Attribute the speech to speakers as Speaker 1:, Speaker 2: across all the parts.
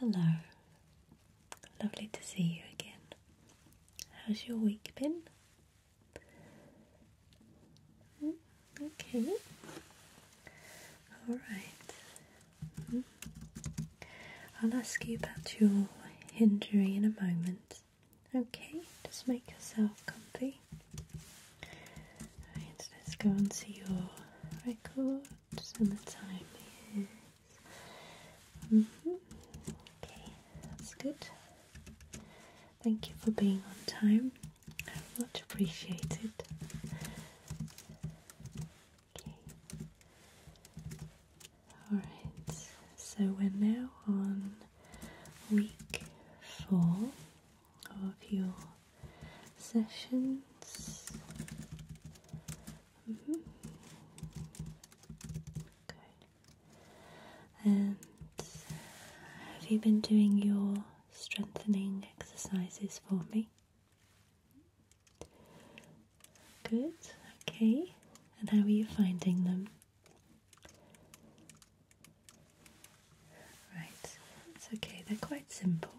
Speaker 1: Hello, lovely to see you again. How's your week been? Mm, okay, alright. Mm. I'll ask you about your injury in a moment. Okay, just make yourself comfy. Alright, let's go on to your record what summertime is. Mm -hmm. Okay, that's good. Thank you for being on time. I Much appreciated. Okay. Alright, so we're now on week four of your sessions. Mm-hmm. And have you been doing your strengthening exercises for me? Good. Okay. And how are you finding them? Right. It's okay. They're quite simple.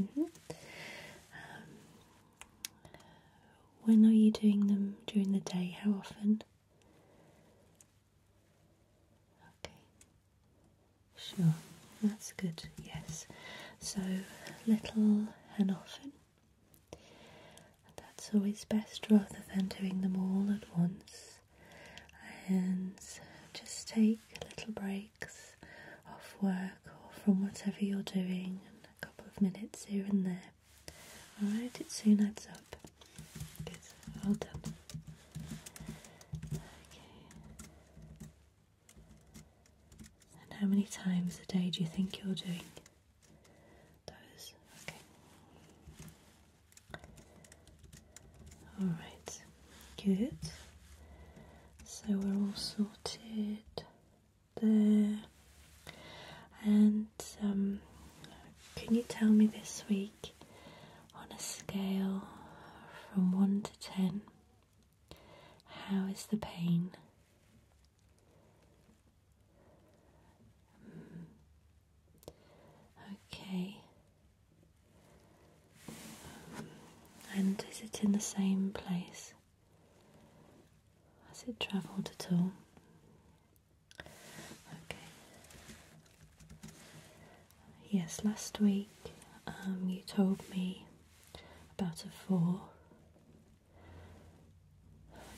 Speaker 1: Mm-hmm. Um, when are you doing them during the day? How often? Okay, sure, that's good, yes. So, little and often. that's always best rather than doing them all at once. And just take a little break off work or from whatever you're doing, a couple of minutes here and there. Alright, it soon adds up. Good, all done. Okay. And how many times a day do you think you're doing? Those. Okay. Alright. Good. So we're all sorted there. And um, can you tell me this week on a scale from 1 to 10 how is the pain? Hmm. Okay, and is it in the same place? Has it travelled at all? Okay. Yes, last week um, you told me about a four.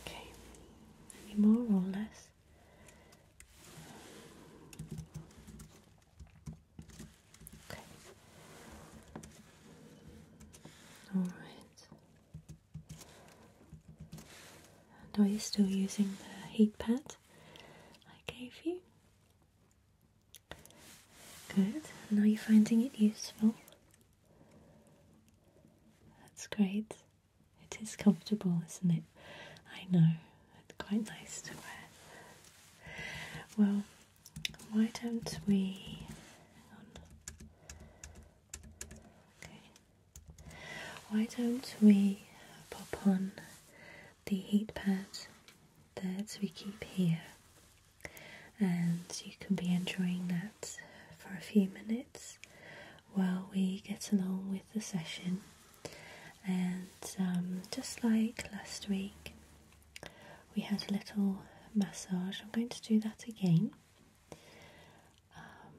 Speaker 1: Okay. Any more or less? Okay. All right. And are you still using the heat pad I gave you? Good. Now you are finding it useful? That's great. It is comfortable, isn't it? I know. It's quite nice to wear. Well, why don't we okay why don't we pop on the heat pad that we keep here and you can be enjoying that for a few minutes while we get along with the session and um, just like last week we had a little massage. I'm going to do that again. Um,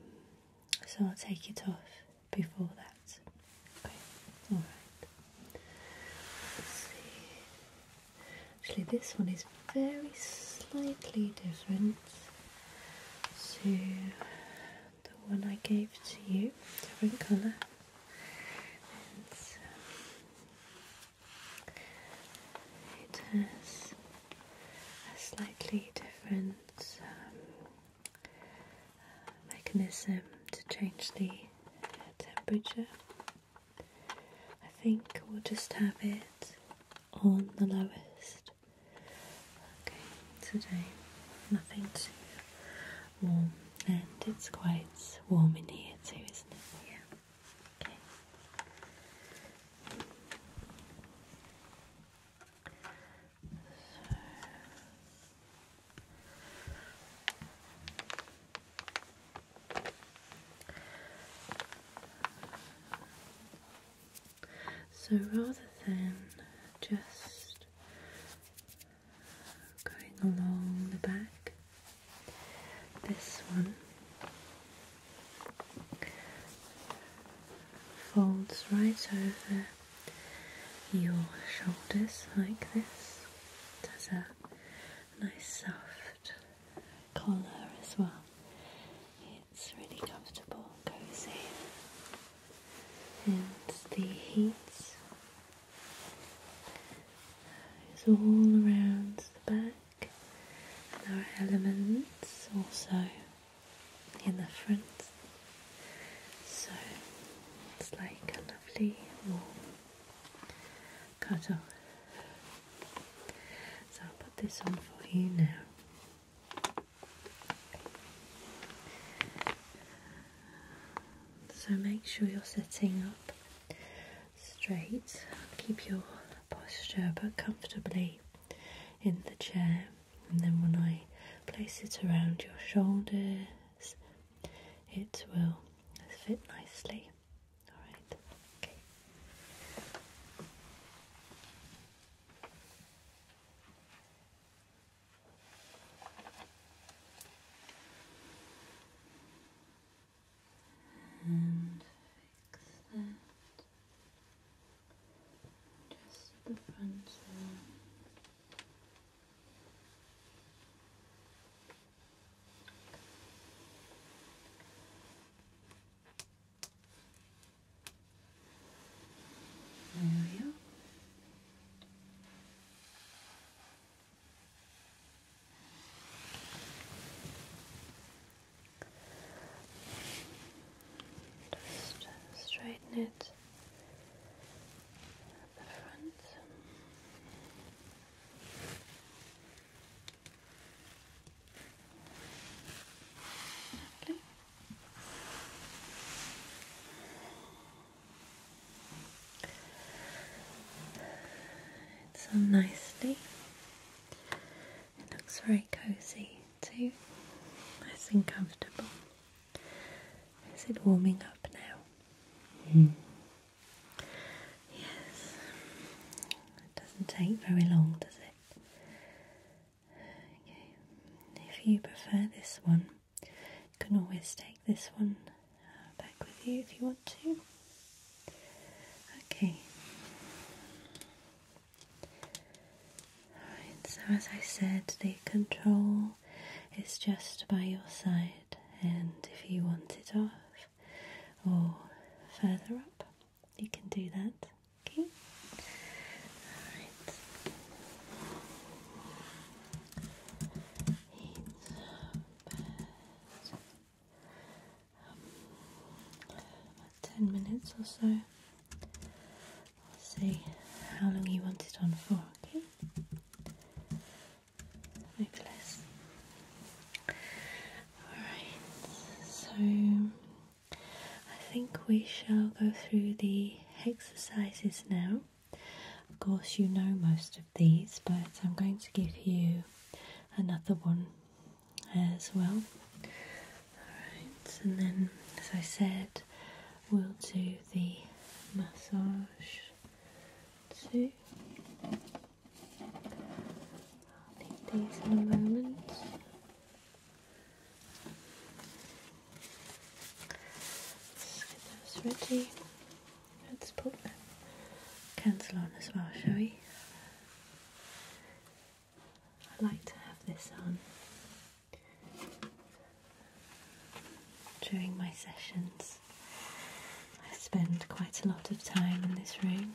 Speaker 1: so I'll take it off before that. Okay, alright. see. Actually, this one is very slightly different to the one I gave to you. Different colour. It has a slightly different um, uh, mechanism to change the temperature. I think we'll just have it on the lowest. Okay, today nothing too warm, and it's quite warm in here too, isn't it? Yeah. Okay. So rather than just going along the back. This one folds right over your shoulders like this. It a nice soft collar as well. It's really comfortable, cozy, and the heat it's all around the back, and there are elements also in the front. So it's like a lovely cut off. So I'll put this on for you now. So make sure you're setting up straight. Keep your posture but comfortably in the chair. And then when I place it around your shoulders, it will fit nicely. Alright, okay. And fix that. Just the front there. we are. Just straighten it at the front. It's on nicely. It looks very cozy too. Nice and comfortable. Is it warming up now? Mm. Yes. It doesn't take very long, does it? If you prefer this one, you can always take this one uh, back with you if you want to. Okay. Alright, so as I said, the control is just by your side, and if you want it off or further up, you can do that. Okay? Alright ten minutes or so. i will see how long you want it on for, okay? Nicholas. Alright, so I think we shall go through the exercises now. Of course, you know most of these, but I'm going to give you another one as well. Alright, and then as I said, we'll do the massage too. I'll need these in a moment. Let's get those ready. Let's put the candle on as well, shall we? I like to have this on during my sessions. I spend quite a lot of time in this room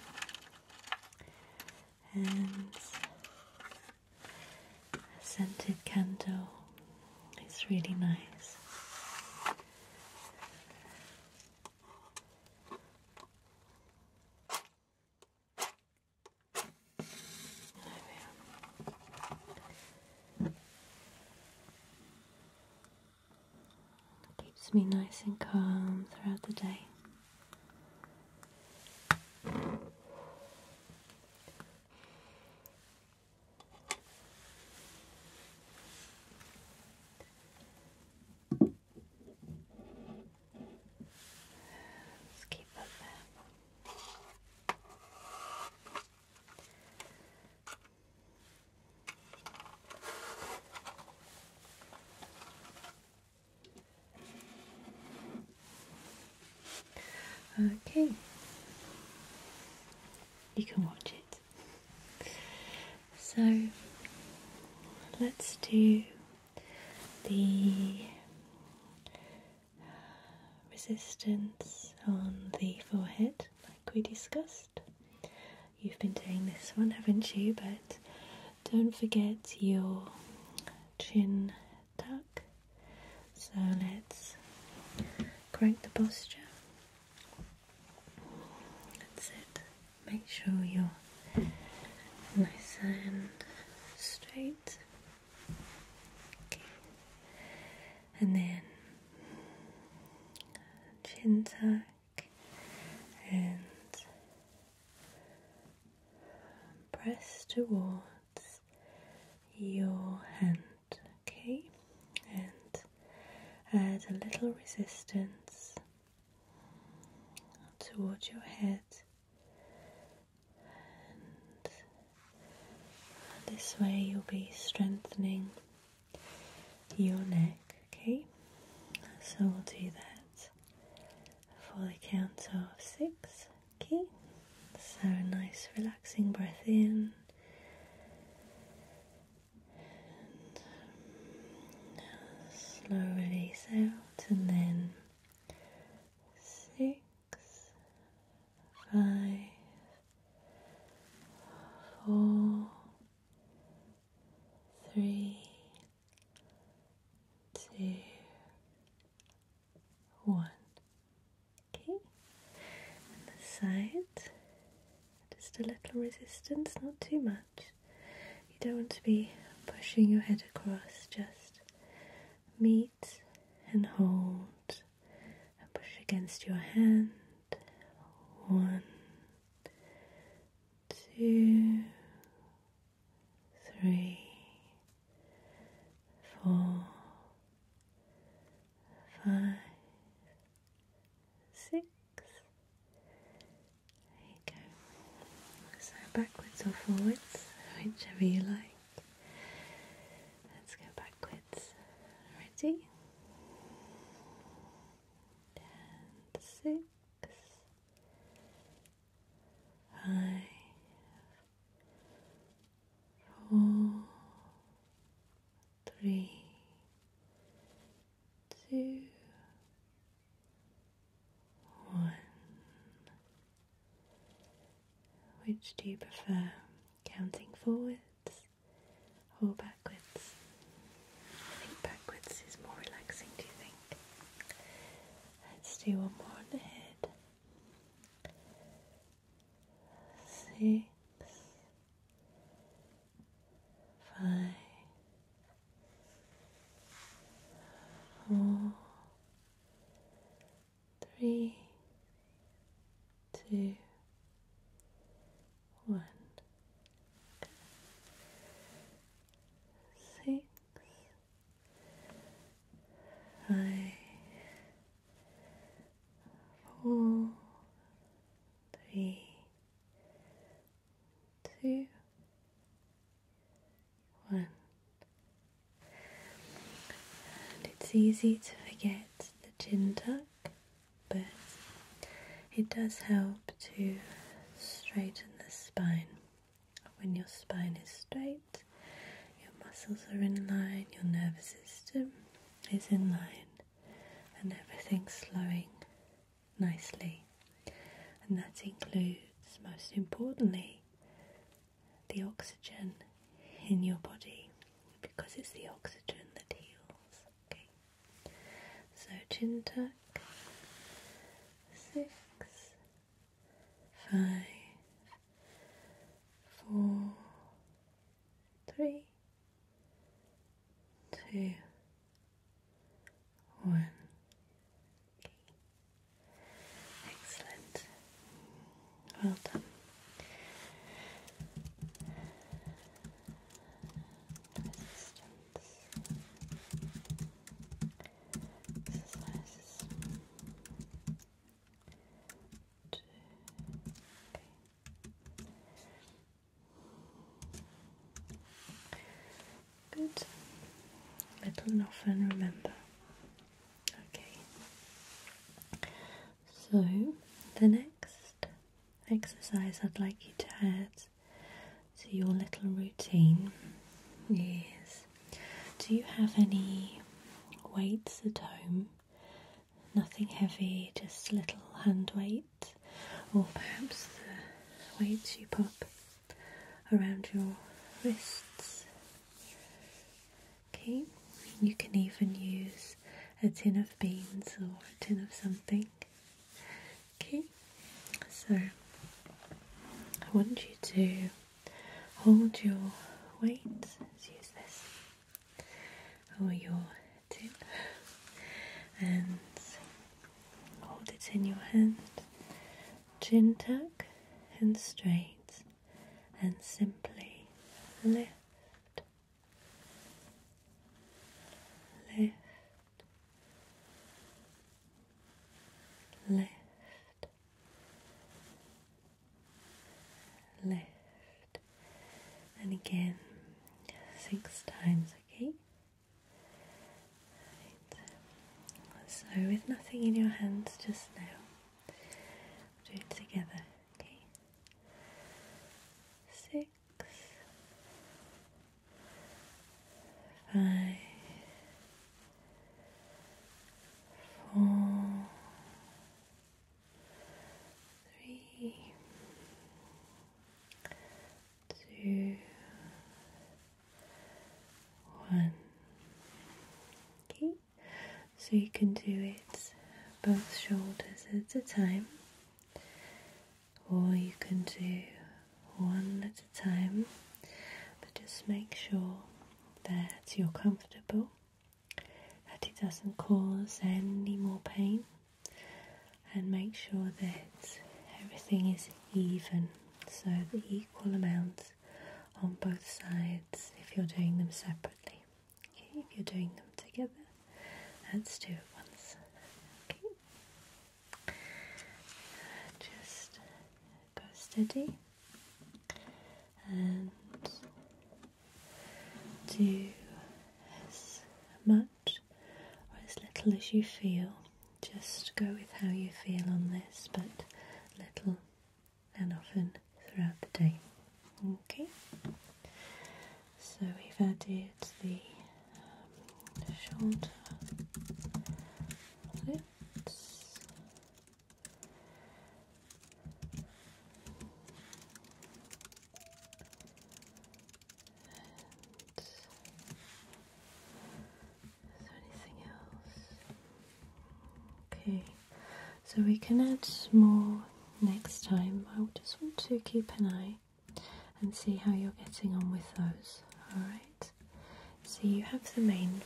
Speaker 1: and a scented candle. It's really nice. Keeps me nice and calm throughout the day. Let's keep that there. Okay, you can watch it. So let's do the resistance on the forehead, like we discussed. You've been doing this one, haven't you? But don't forget your chin tuck. So let's crank the posture that's it. Make sure you're nice and straight. Okay. And then chin tuck and press towards your hand, okay? And add a little resistance towards your head, and this way you'll be strengthening your neck. Okay, so we'll do that for the count of six. Okay, so a nice relaxing breath in. And um, slow release out, and then six, five, four, three, two, one. Okay, and the side, just a little resistance, not too much. You don't want to be pushing your head across, just meet and hold and push against your hand. One, two, three, four, five six. There you go. So backwards or forwards, whichever you like. Let's go backwards. Ready? And three, two, one. Which do you prefer, counting forwards or backwards? I think backwards is more relaxing, do you think? Let's do one more in the head six, five, four, three, two, one, six, five, four, three, two, one. And it's easy to forget the chin tuck, but it does help to straighten the spine. When your spine is straight, your muscles are in line, your nervous system is in line, and everything's slowing nicely. And that includes, most importantly, the oxygen in your body because it's the oxygen that heals. Okay. So chin tuck. Three two, one. Excellent. Well done. Resistance. Exercises. Two. Okay. Good. Little and often remember. Okay. So, the next exercise I'd like you to add to your little routine is do you have any weights at home nothing heavy, just little hand weight, or perhaps the weights you pop around your wrists. Okay, you can even use a tin of beans or a tin of something. Okay, so I want you to hold your weight. Let's use this or oh, your tip and hold it in your hand, chin tucked, and straight, and simply lift, lift, lift, lift. And again, six times, okay? So, with nothing in your hands just now, do it together, okay? Six, five, four, three, two, one. Okay, so you can do it both shoulders at a time, or you can do one at a time, but just make sure that you're comfortable that it doesn't cause any more pain and make sure that everything is even so the equal amount on both sides if you're doing them separately if you're doing them together let's do it once okay just go steady and do as much or as little as you feel. Just go with how you feel on this, but little and often throughout the day. Okay, so we've added the um, shoulder is there anything else? Okay, so we can add more next time. I just want to keep an eye and see how you're getting on with those. Alright, so you have the main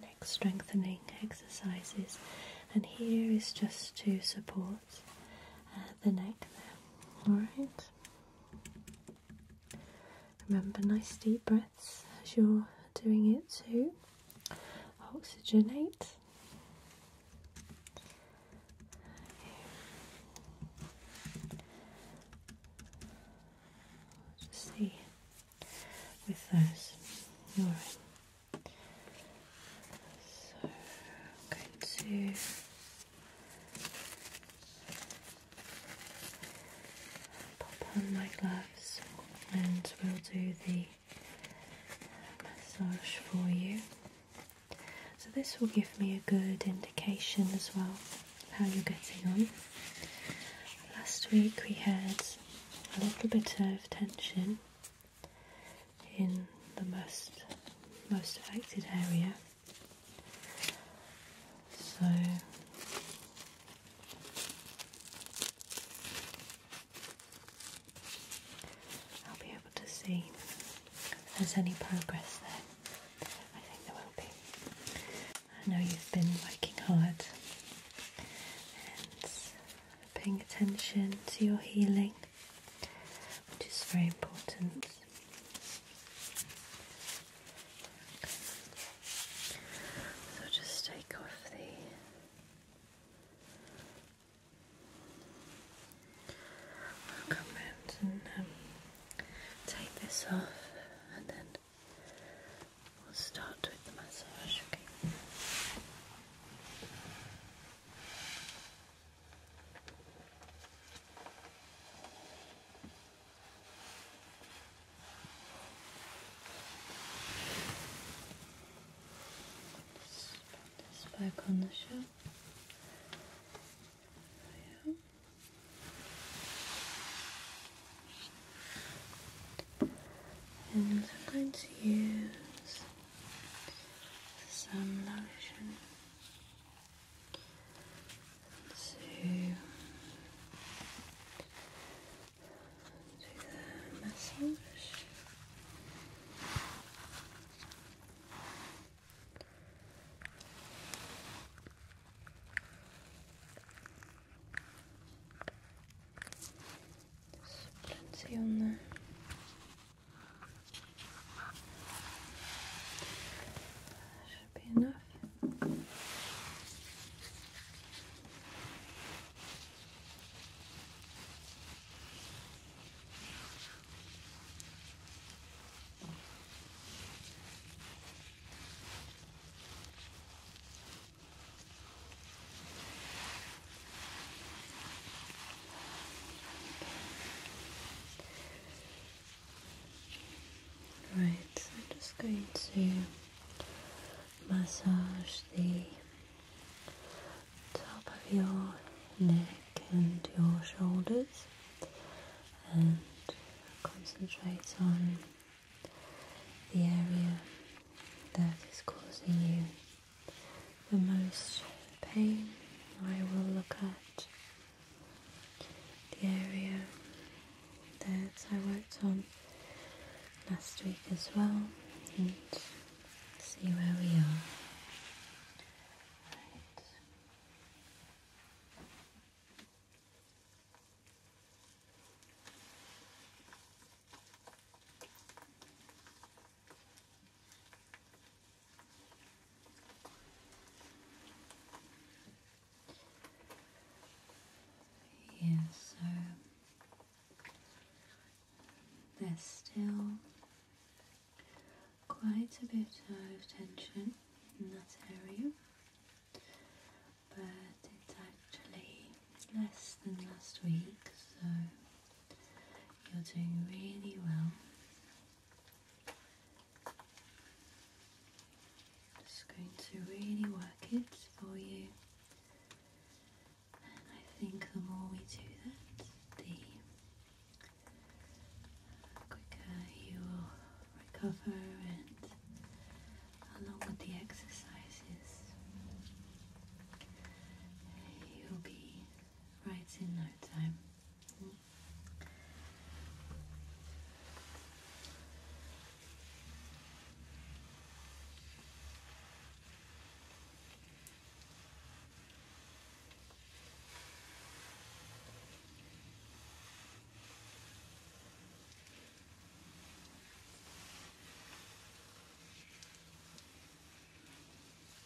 Speaker 1: neck strengthening exercises, and here is just to support uh, the neck there. Alright. Remember nice deep breaths as you're doing it to oxygenate. Just see with those. Alright. So I'm going to pop on my gloves and we'll do the massage for you. So this will give me a good indication as well how you're getting on. Last week we had a little bit of tension in the most most affected area. So I'll be able to see if there's any progress there. I think there will be. I know you've been working hard and paying attention to your healing which is very important. So just take off the i and um, take this off and then we'll start with the massage, okay? Just put this back on the shelf. Oh, yeah. And sometimes use some lotion to do the massage. There's on there. Should be enough. Right, I'm just going to massage the top of your neck and your shoulders and concentrate on the area that is causing you the most pain, I will look at the area that I worked on last week as well and see where we are. Right. Yeah, so there's still quite a bit of tension in that area, but it's actually less than last week, so you're doing really well. Just going to really work it for you. And I think the more we do that, the quicker you will recover and along with the exercises, you'll be right in that time.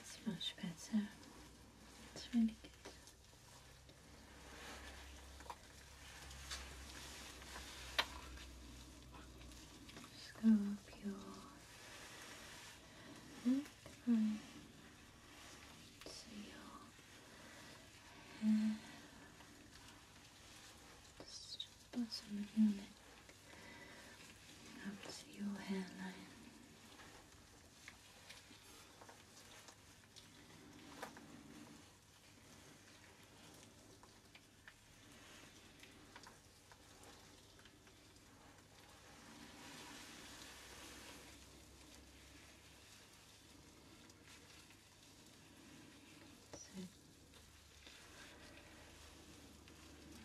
Speaker 1: It's much better. It's really good. Just go up your neckline. So your and just bottom of your up to your hairline.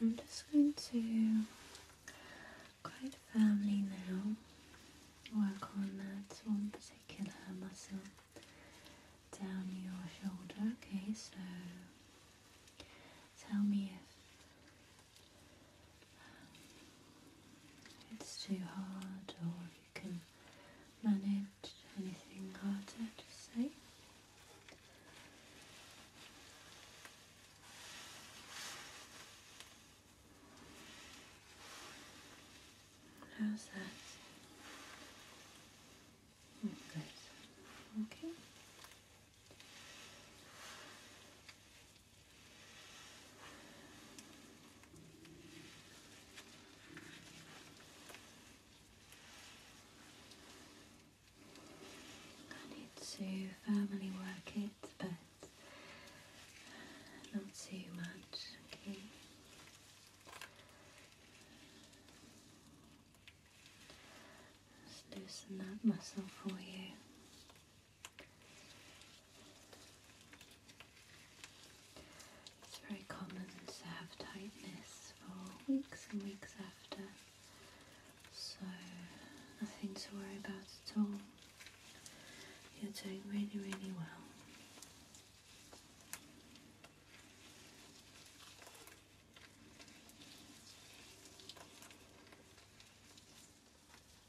Speaker 1: I'm just going to quite firmly now work on that one particular muscle down your shoulder. Okay, so tell me if it's too hard or you can manage anything harder, just say. How's that? good. Okay. I need to firmly work it, but not too much, okay? Just loosen that muscle for you. It's very common to have tightness for weeks and weeks after, so nothing to worry about at all. You're doing really, really well.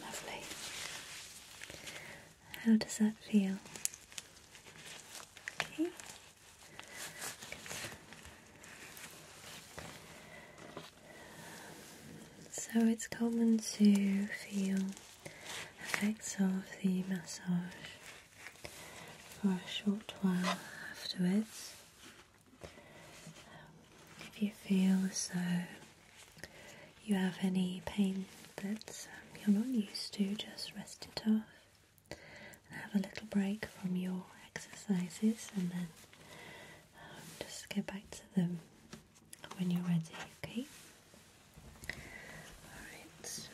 Speaker 1: Lovely. How does that feel? Okay. So it's common to feel effects of the massage for a short while afterwards. Um, if you feel as though you have any pain that um, you're not used to, just rest it off and have a little break from your exercises and then um, just get back to them when you're ready, okay? Alright.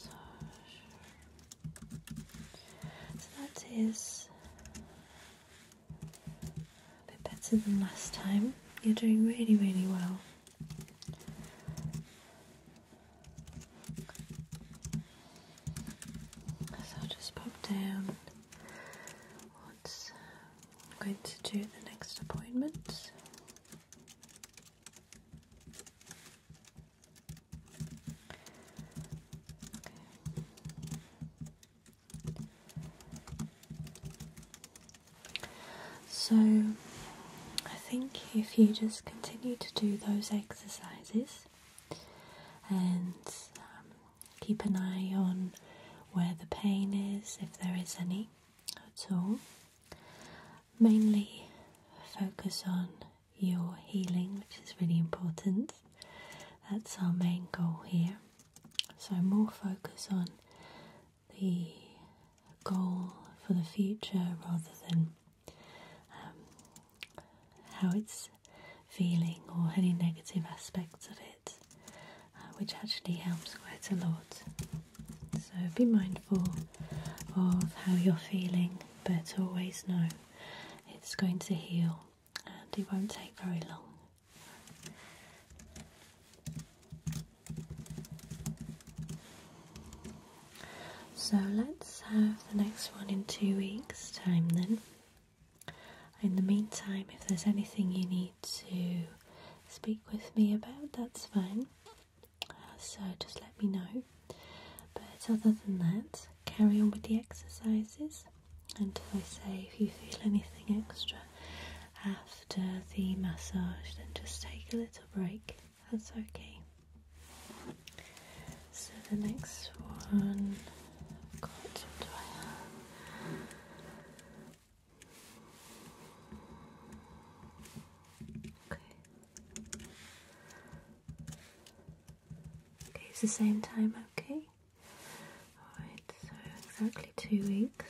Speaker 1: So that is a bit better than last time. You're doing really, really well. So just pop down what going to do the next appointment. So, I think if you just continue to do those exercises and um, keep an eye on where the pain is, if there is any at all. Mainly focus on your healing, which is really important. That's our main goal here. So, more focus on the goal for the future rather than um, how it's feeling or any negative aspects of it, uh, which actually helps quite a lot. So be mindful of how you're feeling, but always know it's going to heal and it won't take very long. So let's have the next one in two weeks' time then. In the meantime, if there's anything you need to speak with me about, that's fine. Uh, so just let me know. But other than that, carry on with the exercises until I say if you feel anything extra after the massage, then just take a little break. That's okay. So the next one. Okay. Okay, it's the same time, okay? Alright, so exactly two weeks.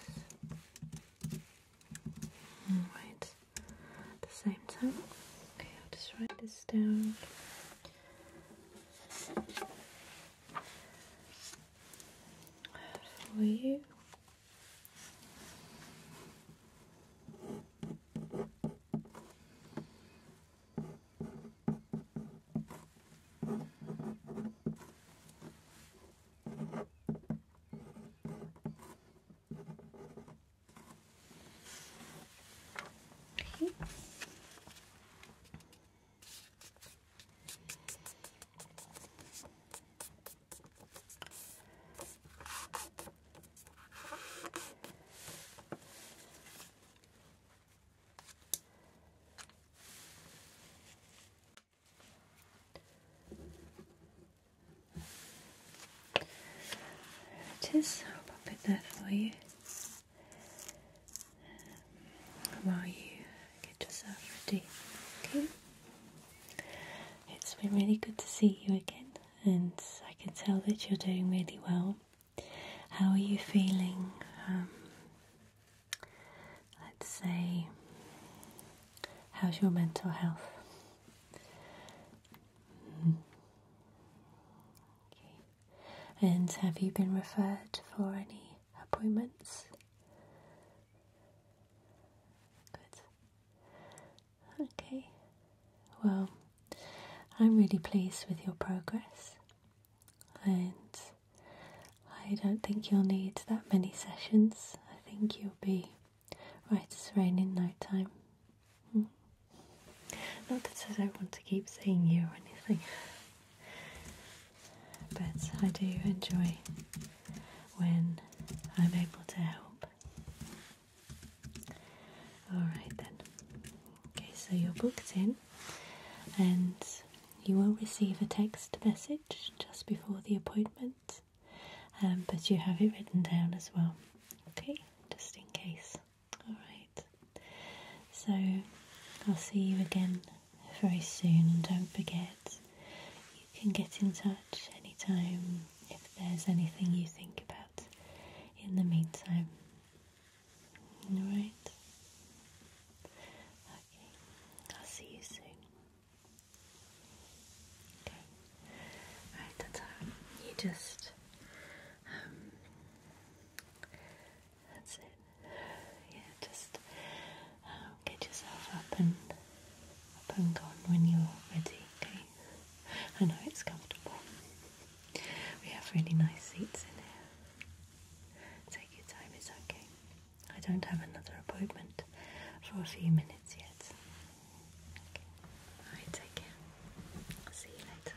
Speaker 1: Alright, at the same time. Okay, I'll just write this down for you. There it is. I'll pop it there for you while you get yourself ready. Okay. It's been really good to see you again, and I can tell that you're doing really well. How are you feeling? Um, let's say, how's your mental health? Mm-hmm. And have you been referred for any appointments. Good. Okay. Well, I'm really pleased with your progress, and I don't think you'll need that many sessions. I think you'll be right as rain in no time. Hmm. Not that I want to keep seeing you or anything. But I do enjoy when I'm able to help. Alright then. Okay, so you're booked in and you will receive a text message just before the appointment, um, but you have it written down as well. Okay, just in case. Alright. So I'll see you again very soon, and don't forget, you can get in touch anytime if there's anything you think about in the meantime. Alright? Okay, I'll see you soon. Okay. Right, that's all. You just um, that's it. Yeah, just um, get yourself up and up and gone when you're ready. Okay. I know it's comfortable. We have really nice seats in here. Take your time. It's okay. I don't have another appointment for a few minutes yet. Okay. Alright, take care. see you later.